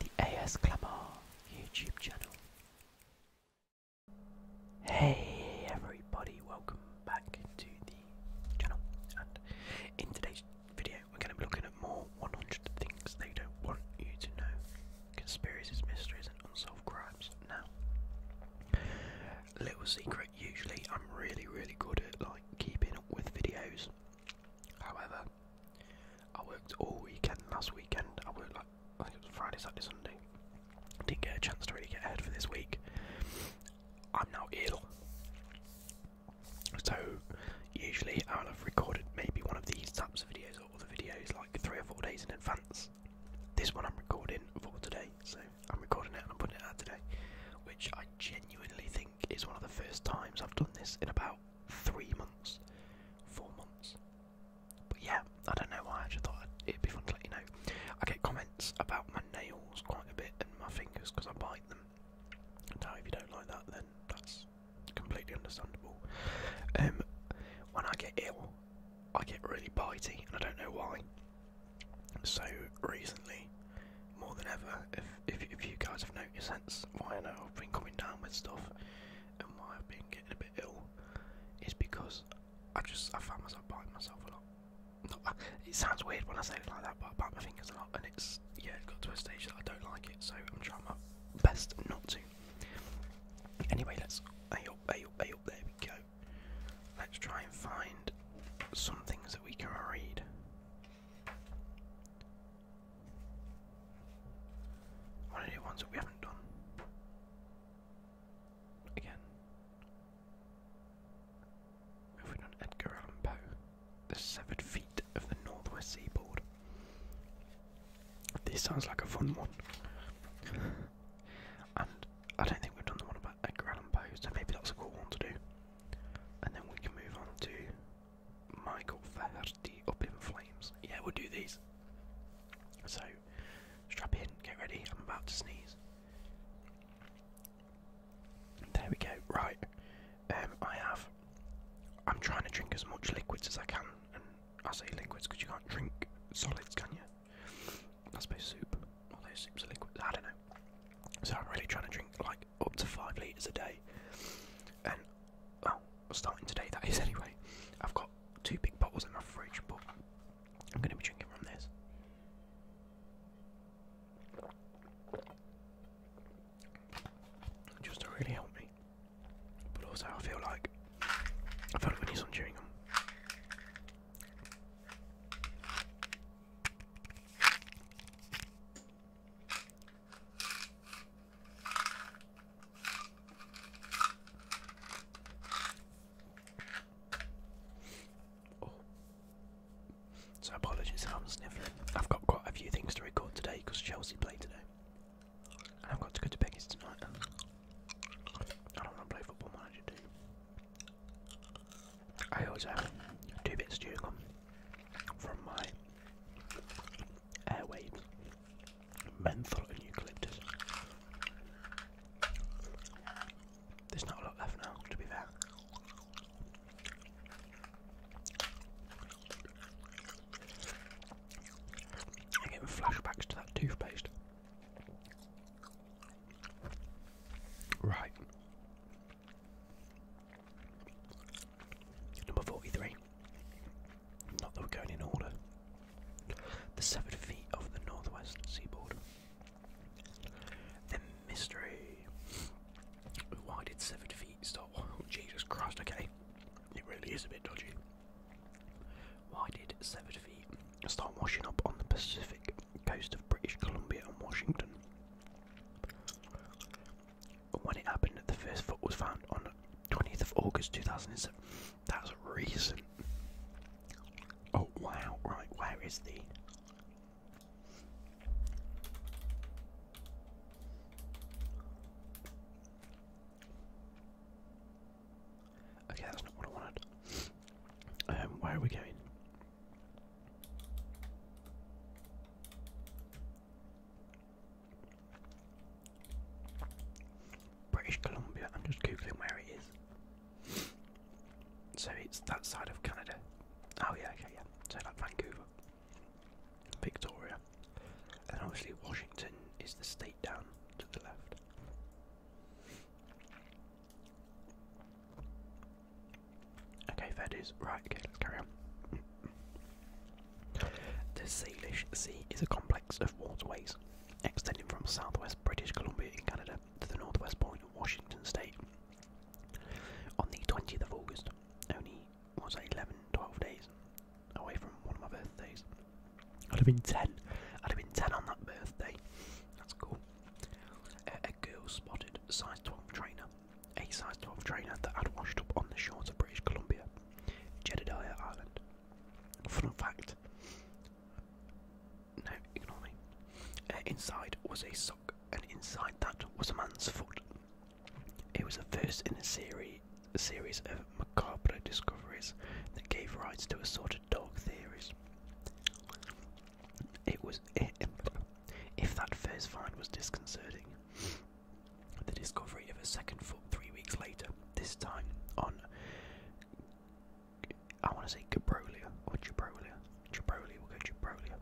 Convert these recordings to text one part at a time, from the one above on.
The AS Clamar YouTube channel. Hey everybody, welcome back to the channel. And in today's video, we're going to be looking at more 100 things they don't want you to know. Conspiracies, mysteries, and unsolved crimes. Now, little secret usually I'm really really good at like keeping up with videos. However, I worked all weekend last weekend. I worked like I think it was Friday, Saturday, Sunday. didn't get a chance to really get ahead for this week. I'm now ill. So usually I'll have recorded maybe one of these types of videos or other videos like three or four days in advance. This one I'm recording for today, so I'm recording it and I'm putting it out today, which I genuinely think is one of the first times I've done this in about three months, four months. But yeah, I don't know why. I just thought it'd be fun to let you know. I get comments about my nails quite a bit and my fingers because I bite them. Now, if you don't like that, then that's completely understandable. Um, when I get ill, I get really bitey, and I don't know why. So recently, more than ever, if if, you guys have noticed, since why I know I've been coming down with stuff and why I've been getting a bit ill, is because I just I found myself biting myself a lot. Uh, it sounds weird when I say it like that, but I bite my fingers a lot, and it's yeah, it got to a stage that I don't like it, so I'm trying my best not to. Anyway, let's hey up, hey up, hey There we go let's try and find some things that we can read. One of the ones that we haven't done. Again. Have we done Edgar Allan Poe? The Severed Feet of the Northwest Seaboard. This sounds like a fun one. I don't think we've done the one about Edgar Allan Poe, so maybe that's a cool one to do. And then we can move on to Michael Verdi Up in Flames. Yeah, we'll do these. So, strap in, get ready, I'm about to sneeze. There we go, right. Um, I have. I'm trying to drink as much liquids as I can, and I say liquids because you can't drink solids, can you? I suppose soup. Although soup's a liquid, I don't know. So I'm really trying to drink like up to five litres a day. And well, starting today that is anyway. I've got two big bottles in my fridge, but I'm going to be drinking from this. Just to really help me. But also I feel like I feel like we need some chewing gum. Oh. So apologies I'm sniffling. I've got quite a few things to record today because Chelsea played today. And I've got to go to Peggy's tonight. I don't want to play Football Manager 2. I always have two bits chewing gum from my airwaves, menthol and eucalyptus. There's not a lot left now, to be fair. I'm getting flashbacks to that toothpaste. Right. Number 43. Not that we're going in order. The severed feet of the northwest seaboard. The mystery. Why did severed feet stop? Jesus Christ, okay. It really is a bit dodgy. Why did severed feet start washing up on the Pacific coast of British Columbia and Washington? When it happened, the first foot was found on 20th of August 2007. That's recent. Oh wow! Right, where is the? Okay, that's not what I wanted. Um, where are we going? British Columbia. I'm just googling where it is. So it's that side of Canada. Oh yeah, okay, yeah. So like Vancouver, Victoria, and obviously Washington is the state down to the left. Okay, fair Right, okay, let's carry on. The Salish Sea is a complex of waterways extending from southwest British Columbia in Canada to the northwest point of Washington state. On the 20th of August, only was 11, 12 days away from one of my birthdays. I'd have been 10. I'd have been 10 on that birthday. That's cool. A, girl spotted a size 12 trainer, a size 12 trainer that had washed up on the shores of British Columbia, Jedediah Island. Fun fact. No, ignore me. Uh, inside was a sock, and inside that was a man's foot. It was the first in a series a series of macabre discoveries that gave rise to assorted dog theories. It was, if that first find was disconcerting, the discovery of a second foot three weeks later, this time on, I want to say Gabrolia or Gibrolia, Gibrolia,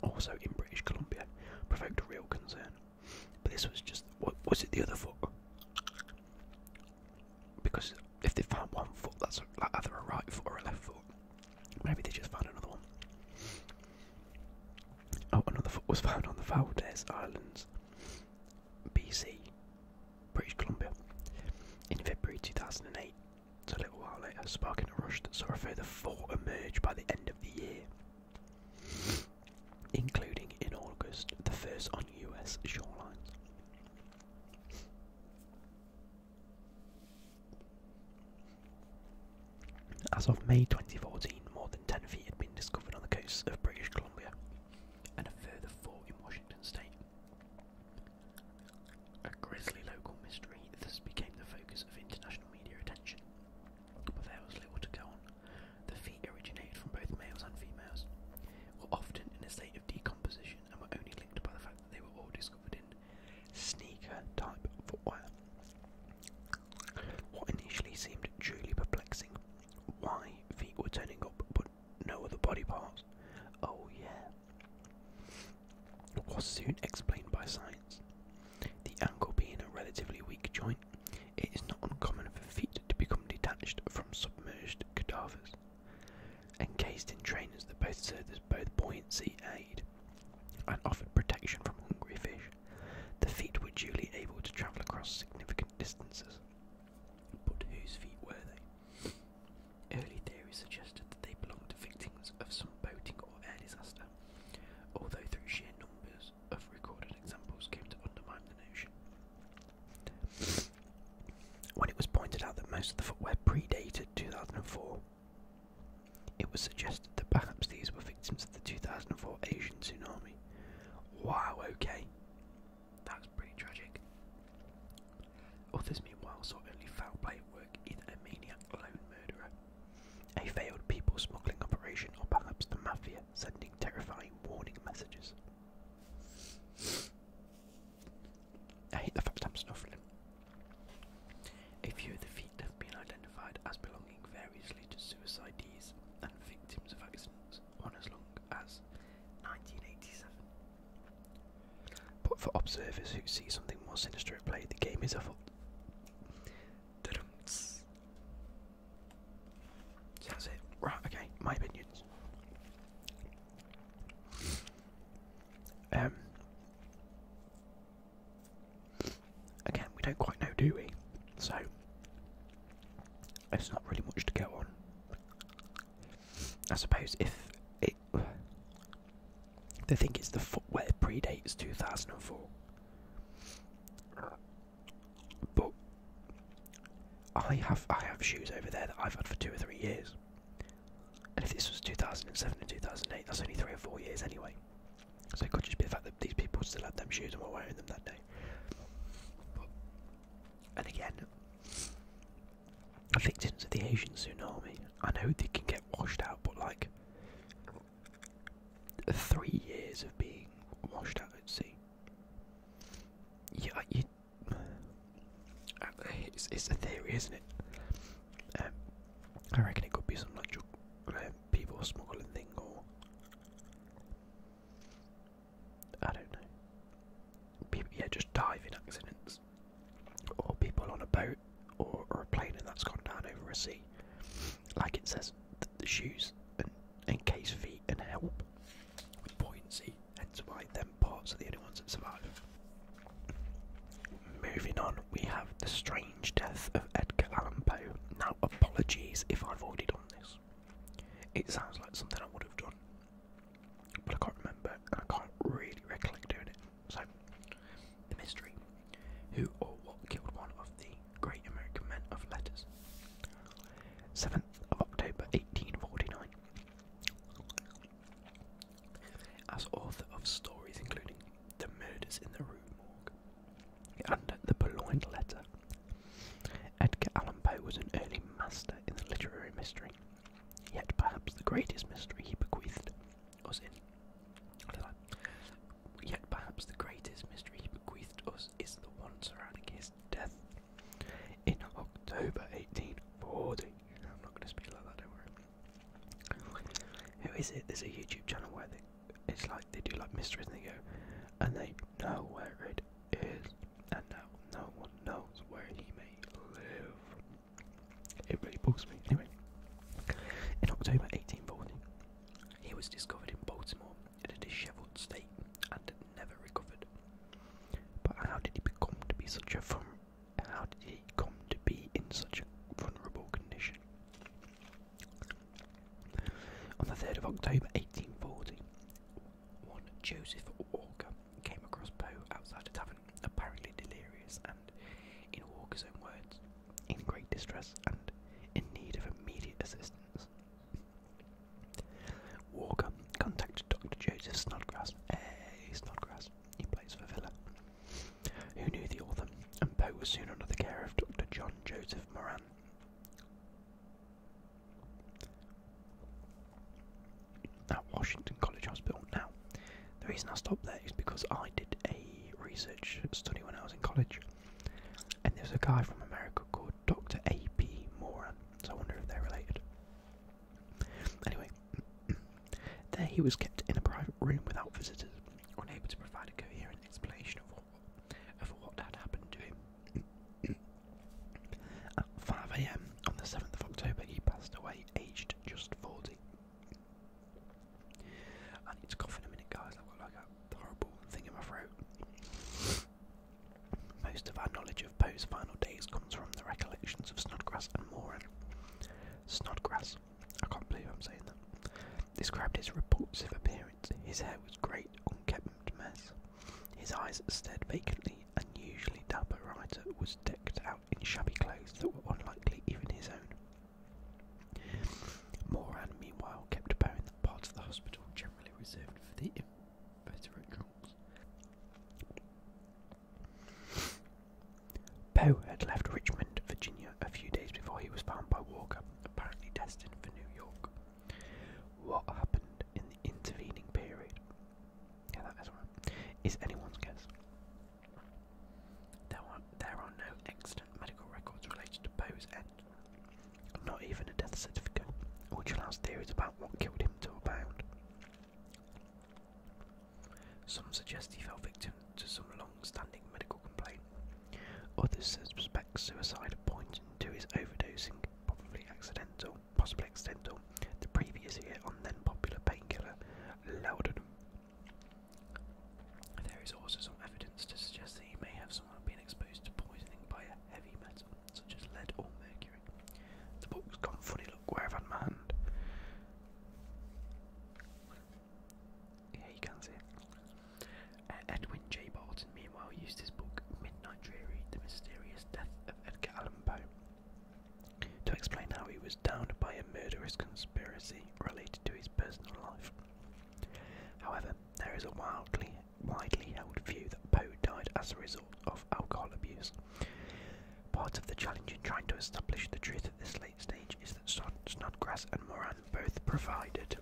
we'll also in British Columbia, provoked real concern. But this was just what was it the other foot? Because if they found one foot, that's like either a right foot or a left foot. Maybe they just found another one. Oh, another foot was found on the Valdez Islands, BC, British Columbia, in February 2008. So a little while later, sparking a rush that saw a further four emerge by the end of the year including in August the first on US shorelines. As of May 2014, more than 10 feet had been discovered on the coasts of British Columbia and a further four in Washington state. A grisly local mystery, this became the focus of international media attention there was little to go on. The feet originated from both males and females, were often in a state of decomposition, and were only linked by the fact that they were all discovered in sneaker-type footwear. What initially seemed truly perplexing, why feet were turning up but no other body parts? Oh yeah. Was soon explained by science. The ankle being a relatively weak joint, it is not uncommon for feet to become detached from submerged cadavers. Encased in trainers that both served as both buoyancy aid and offered protection from hungry fish, the feet were duly able to travel across significant distances. But whose feet were they? Early theories suggested that they belonged to victims of some boating or air disaster, although through sheer numbers of recorded examples came to undermine the notion. When it was pointed out that most of the footwear predated 2004, it was suggested that perhaps these were victims of the 2004 Asian tsunami. Wow, okay. That's pretty tragic. Others, meanwhile, saw only foul play at work in a maniac lone murderer, a failed people smuggling operation, or perhaps the mafia sending sending terrifying warning messages. I hate the fact I'm snuffling. A few of the feet have been identified as belonging variously to suicidees and victims of accidents on as long as 1987. But for observers who see something more sinister at play, the game is afoot that's it. Right, okay, my opinions. Um Again, we don't quite know, do we? So there's not really much to go on. I suppose if it they think it's the footwear predates two thousand and four. But I have I have shoes over there that I've had for two or three years. And if this was 2007 and 2008, that's only three or four years anyway. So it could just be the fact that these people still had them shoes and were wearing them that day. and again, victims of the Asian tsunami. I know they can get washed out, but like, three years of being washed out at sea. Yeah, uh, It's a theory, isn't it? Um, I reckon it could be some like uh, people smuggling thing, or I don't know. People, yeah, just diving accidents, or people on a boat or, or a plane and that's gone down over a sea, like it says the, shoes and encase feet and help with buoyancy. Hence why them parts are the only ones that survive. Moving on, we have the strange death of Edgar Allan Poe. Now, apologies if I've already done this. It sounds like something I would have done, but I can't remember and I can't really recollect doing it. So, the mystery who or what killed one of the great American men of letters. 7th of October 1849. As author of stories including The Murders in the Rue Morgue and The Purloined Letter, Edgar Allan Poe was an early master in the literary mystery, yet perhaps the greatest mystery he bequeathed was in Yet perhaps the greatest mystery he bequeathed us is the one surrounding his death in October 1840. I'm not going to speak like that, don't worry. Who is it? There's a YouTube channel where they, it's like they do like mysteries and they go, and they know where it is, and now no one knows where he may live. It really bugs me. Anyway, in October 1840, he was discovered in Baltimore in a disheveled state and never recovered. But how did he become to be such a fun? How did he come to be in such a vulnerable condition? On the 3rd of October 1840, one Joseph Walker came across Poe outside a tavern, apparently delirious and, in Walker's own words, in great distress and in need of immediate assistance. Walker contacted Dr. Joseph Snodgrass, hey, Snodgrass, he plays for Villa, who knew the author, and Poe was soon under the care of Dr. John Joseph Moran. At Washington College Hospital. Now, the reason I stopped there is because I did a research study when I was in college and there's a guy from America called Dr. A.P. Moran, so I wonder if they're related. Anyway, there he was kept in a private room without visitors, unable to provide a coherent explanation of what, of what had happened to him. At 5 am on the 7th of October, he passed away, aged just 40. I need to cough in a minute, guys. I've got like a horrible thing in my throat. Most of our knowledge of Poe's final days comes from the recollections of Snodgrass and Moran. Snodgrass, I can't believe I'm saying that, described his repulsive appearance. His hair was great, unkempt mess. His eyes stared vacantly. Unusually dapper writer was decked out in shabby clothes that were unlikely even his own. Moran, meanwhile, kept bowing that part of the hospital generally reserved for the inveterate Poe had left Richmond, Virginia, a few days before he was found by Walker, apparently destined for New York. What happened in the intervening period? Is anyone's guess. There are, there are no extant medical records related to Poe's end, not even a death certificate, which allows theories about what killed him to abound. Some suggest he fell victim to some long-standing medical complaint. Others suspect suicide, pointing to his overdosing, probably accidental, possibly accidental, the previous year on then popular painkiller there is also some evidence to suggest that he may have somehow been exposed to poisoning by a heavy metal, such as lead or mercury. The book's gone funny, look where I've had my hand. Yeah, you can see it. Uh, Edwin J. Barton, meanwhile, used his book Midnight Dreary The Mysterious Death of Edgar Allan Poe to explain how he was downed by a murderous conspiracy related to his personal life. However, there is a wildly, widely held view that Poe died as a result of alcohol abuse. Part of the challenge in trying to establish the truth of this late stage is that Snodgrass and Moran both provided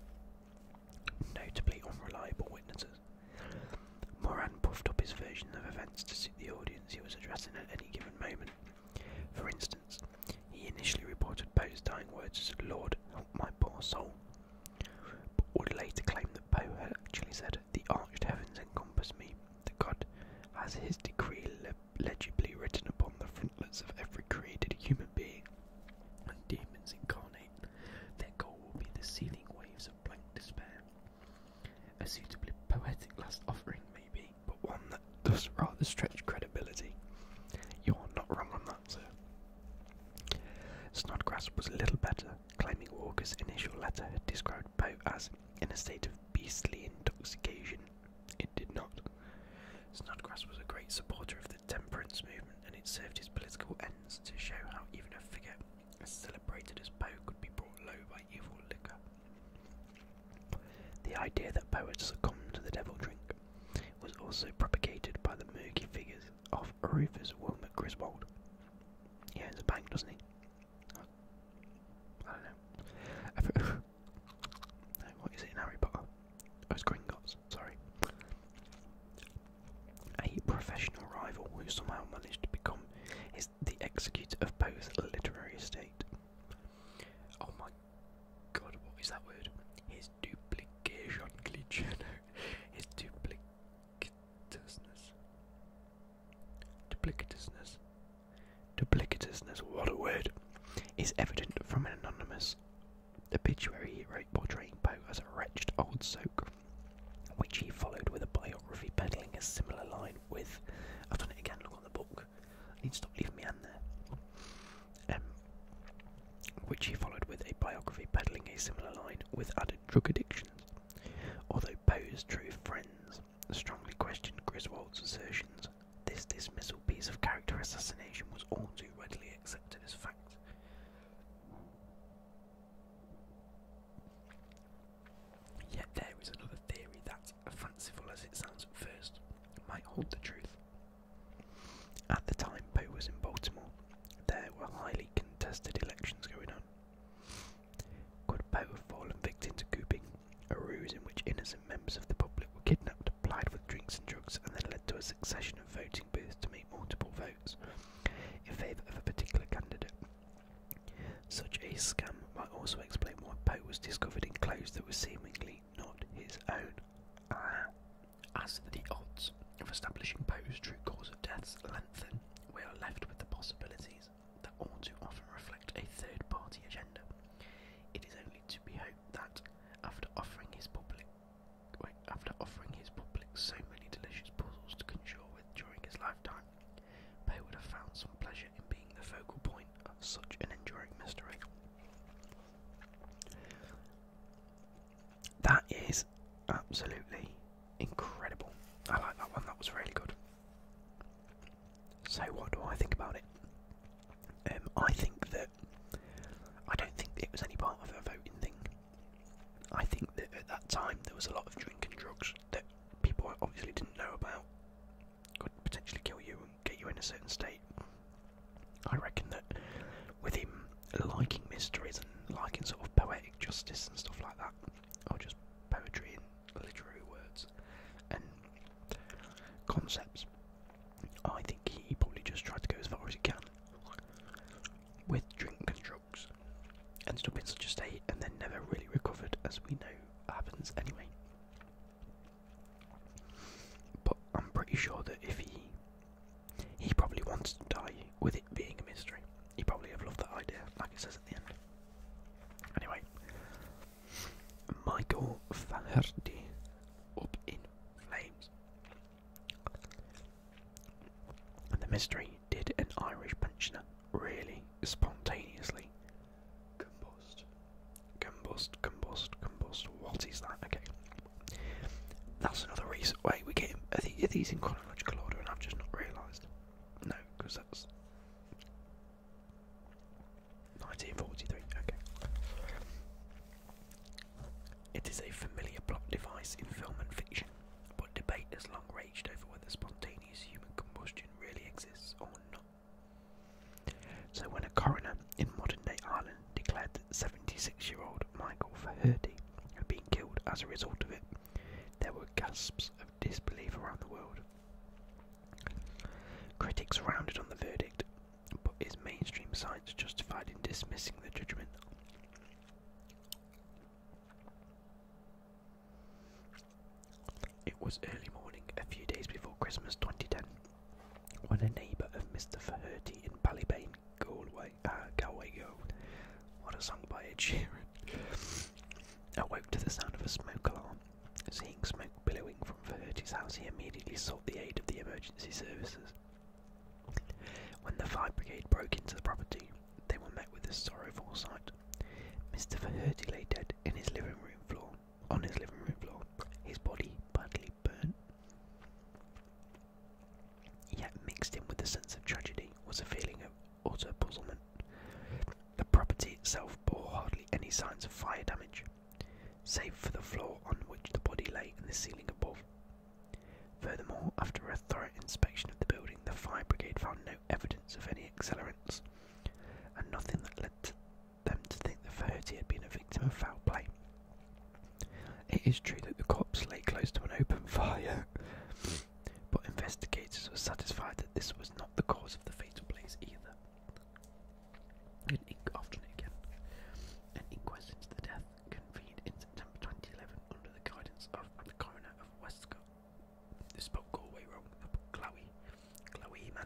notably unreliable witnesses. Moran puffed up his version of events to suit the audience he was addressing at any given moment. For instance, he initially reported Poe's dying words as "Lord, help my poor soul," but would later claim that Poe had actually said, "The arched heavens encompass me. The God has His decree legibly written upon the frontlets of every created human being." And demons incarnate. Their goal will be the seething waves of blank despair. A suitably poetic last offering, maybe, but one that does rather stretch credibility. You're not wrong on that, sir. Snodgrass was a little better, claiming Walker's initial letter had described Poe as in a state of beastly intoxication. It did not. Snodgrass was a great supporter of the temperance movement, and it served his political ends to show how even a figure as celebrated as Poe could be brought low by evil liquor. The idea that poets succumbed to the devil drink was also propagated by the murky figures of Rufus Wilmot Griswold. He owns a bank, doesn't he? I don't know. what is it in Harry Potter? Oh, it's Gringotts, sorry. A professional rival who somehow managed to become is the executor of Poe's literary estate. Oh my God, what is that word? His duplication glitch. His duplicitousness. Duplicitousness. Duplicitousness, what a word. Is evident from an anonymous obituary he wrote portraying Poe as a wretched old soak, which he followed with a biography peddling a similar line with. I've done it again, look on the book. Um, which he followed with a biography peddling a similar line with added drug addictions. Although Poe's true friends strongly questioned Griswold's assertions, this dismissal piece of character assassination was all too readily accepted as fact. Yet there is another theory that fanciful as it sounds at first, might hold the truth. At the time Poe was in Baltimore, there were highly contested elections going on. Could Poe have fallen victim to cooping, a ruse in which innocent members of the public were kidnapped, plied with drinks and drugs, and then led to a succession of voting booths to make multiple votes in favour of a particular candidate? Such a scam might also explain why Poe was discovered in clothes that were seemingly not his own. Ah. As the odds of establishing Poe's true cause of death lengthen, we are left with the possibilities that all too often reflect a third party agenda. It is only to be hoped that, after offering his public wait, after offering his public so many delicious puzzles to conjure with during his lifetime, Poe would have found some pleasure being the focal point of such an enduring mystery. That is absolutely incredible. I like that one, that was really good. So, what do I think about it? Um, I think that I don't think it was any part of a voting thing. I think that at that time there was a lot of drinking, drugs that people obviously didn't know about could potentially kill you and get you in a certain state. I reckon that with him liking mysteries and liking sort of poetic justice and stuff like that, or just poetry and literary words and concepts, I think he probably just tried to go as far as he can with drink and drugs. Ended up in such a state and then never really recovered, as we know happens anyway. But I'm pretty sure that if he he probably wants to die with it being a mystery. He probably have loved that idea, like it says at the end. Anyway, Michael Faherty up in flames. The mystery did an Irish puncher really spontaneously Combust, combust, combust, combust. What is that? Okay. That's another reason. why we get. Are, the, these in chronological order and I've just not realised? No, because that's. 1943, okay. It is a familiar plot device in film and fiction, but debate has long raged over whether spontaneous human combustion really exists or not. So when a coroner in modern-day Ireland declared that 76-year-old Michael Faherty had been killed as a result of it, there were gasps of disbelief around the world. Critics rounded on the verdict, but is mainstream science justified in dismissing the judgment. It was early morning, a few days before Christmas 2010, when a neighbour of Mr. Faherty in Ballybane, Galway, uh, Galway Road, what a song by Ed Sheeran, awoke to the sound of a smoke alarm. Seeing smoke billowing from Faherty's house, he immediately sought the aid of the emergency services. When the fire brigade broke into the property, they were met with a sorrowful sight Mr. Faherty lay dead in his living room floor, on his living room floor, his body badly burnt. Yet mixed in with the sense of tragedy was a feeling of utter puzzlement. The property itself bore hardly any signs of fire damage, save for the floor on which the body lay and the ceiling above. Furthermore, after a thorough inspection of the building, the fire brigade found no evidence of any accelerants, and nothing that led them to think that Faherty had been a victim of foul play. It is true that the corpse lay close to an open fire, but investigators were satisfied that this was not the cause of the fatal blaze either. an inquest into the death convened in September 2011 under the guidance of the coroner of Westcott, this spelled Galway wrong. Chloe. Chloe, man.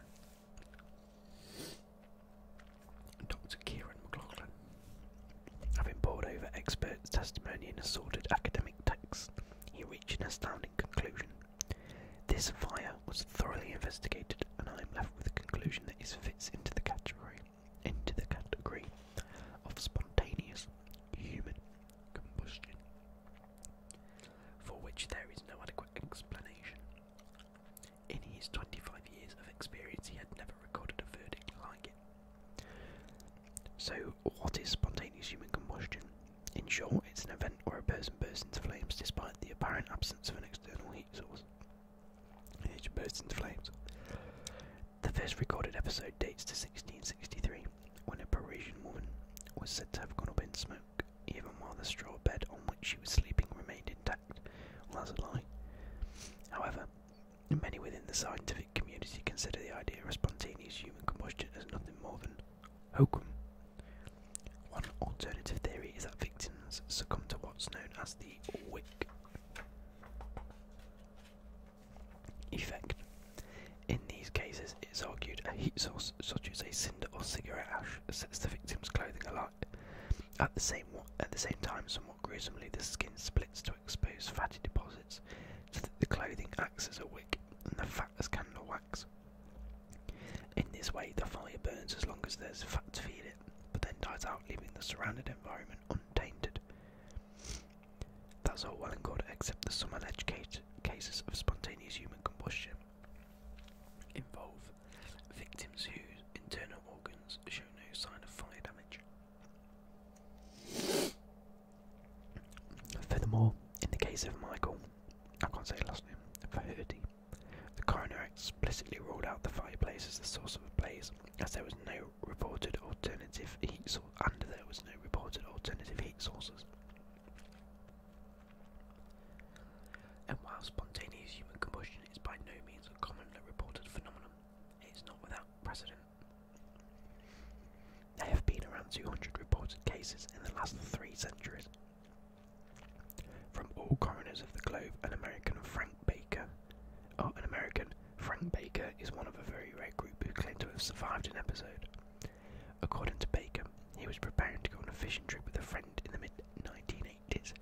Dr. Kieran McLaughlin. Having pored over experts' testimony and assorted academic texts, he reached an astounding conclusion. This fire was thoroughly investigated, and I am left with the conclusion that it fits into the category, into the category of spontaneous human combustion, for which there is no adequate explanation. In his 25 years of experience, he had never recorded a verdict like it. So, what is spontaneous human combustion? In short, it's an event where a person bursts into flames despite the apparent absence of an external heat source. It bursts into flames. The first recorded episode dates to 1663 when a Parisian woman was said to have gone up in smoke, even while the straw bed on which she was sleeping remained intact. Well, that's a lie. However, many within the scientific community consider the idea of spontaneous human combustion as nothing more than hokum. One alternative theory is that victims succumb to what's known as the wick. Effect. In these cases, it is argued a heat source such as a cinder or cigarette ash sets the victim's clothing alight. At the same at the same time, somewhat gruesomely, the skin splits to expose fatty deposits, so that the clothing acts as a wick and the fat as candle wax. In this way, the fire burns as long as there's fat to feed it, but then dies out, leaving the surrounding environment untainted. That's all well and good, except the some alleged cases of spontaneous human combustion involve victims whose internal organs show no sign of fire damage. Furthermore, in the case of Michael, I can't say last name, Faherty, the coroner explicitly ruled out the fireplace as the source of the blaze, as there was no reported alternative heat source and there was no reported alternative heat sources. And while spontaneous human combustion is by no means a commonly reported phenomenon, it is not without precedent. There have been around 200 reported cases in the last three centuries. From all coroners of the globe, an American Frank Baker, or an American Frank Baker is one of a very rare group who claim to have survived an episode. According to Baker, he was preparing to go on a fishing trip with a friend in the mid 1980s.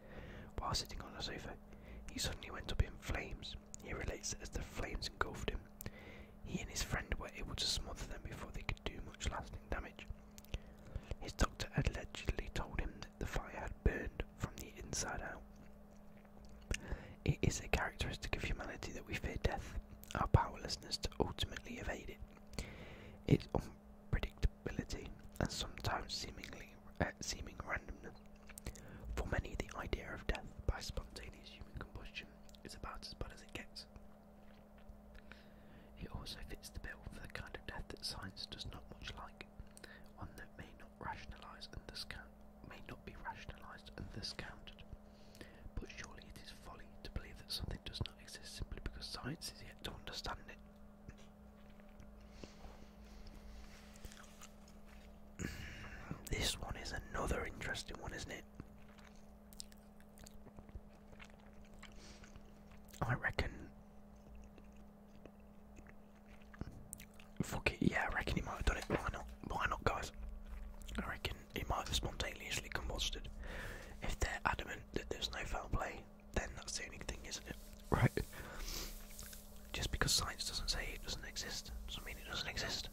While sitting on a sofa, he suddenly went up in flames. He relates that as the flames engulfed him, he and his friend were able to smother them before they could do much lasting damage. His doctor had allegedly told him that the fire had burned from the inside out. It is a characteristic of humanity that we fear death, our powerlessness to ultimately evade it, its unpredictability, and sometimes seemingly uh, seeming randomness. For many, the idea of death by spontaneous human combustion is about as bad as it gets. It also fits the bill for the kind of death that science does not much like, one that may not rationalise and thus count, may not be rationalised and thus counted. But surely it is folly to believe that something does not exist simply because science is yet to understand it. this one is another interesting one, isn't it? I reckon Fuck it, yeah, I reckon he might have done it. Why not? Why not, guys? I reckon he might have spontaneously combusted. If they're adamant that there's no foul play, then that's the only thing, isn't it? Right. Just because science doesn't say it doesn't exist, doesn't mean it doesn't exist.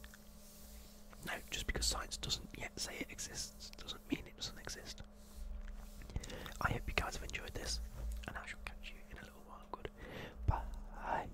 No, just because science doesn't yet say it exists, doesn't mean it doesn't exist. I hope you guys have enjoyed this, and I shall catch you in a little while. Good. Bye.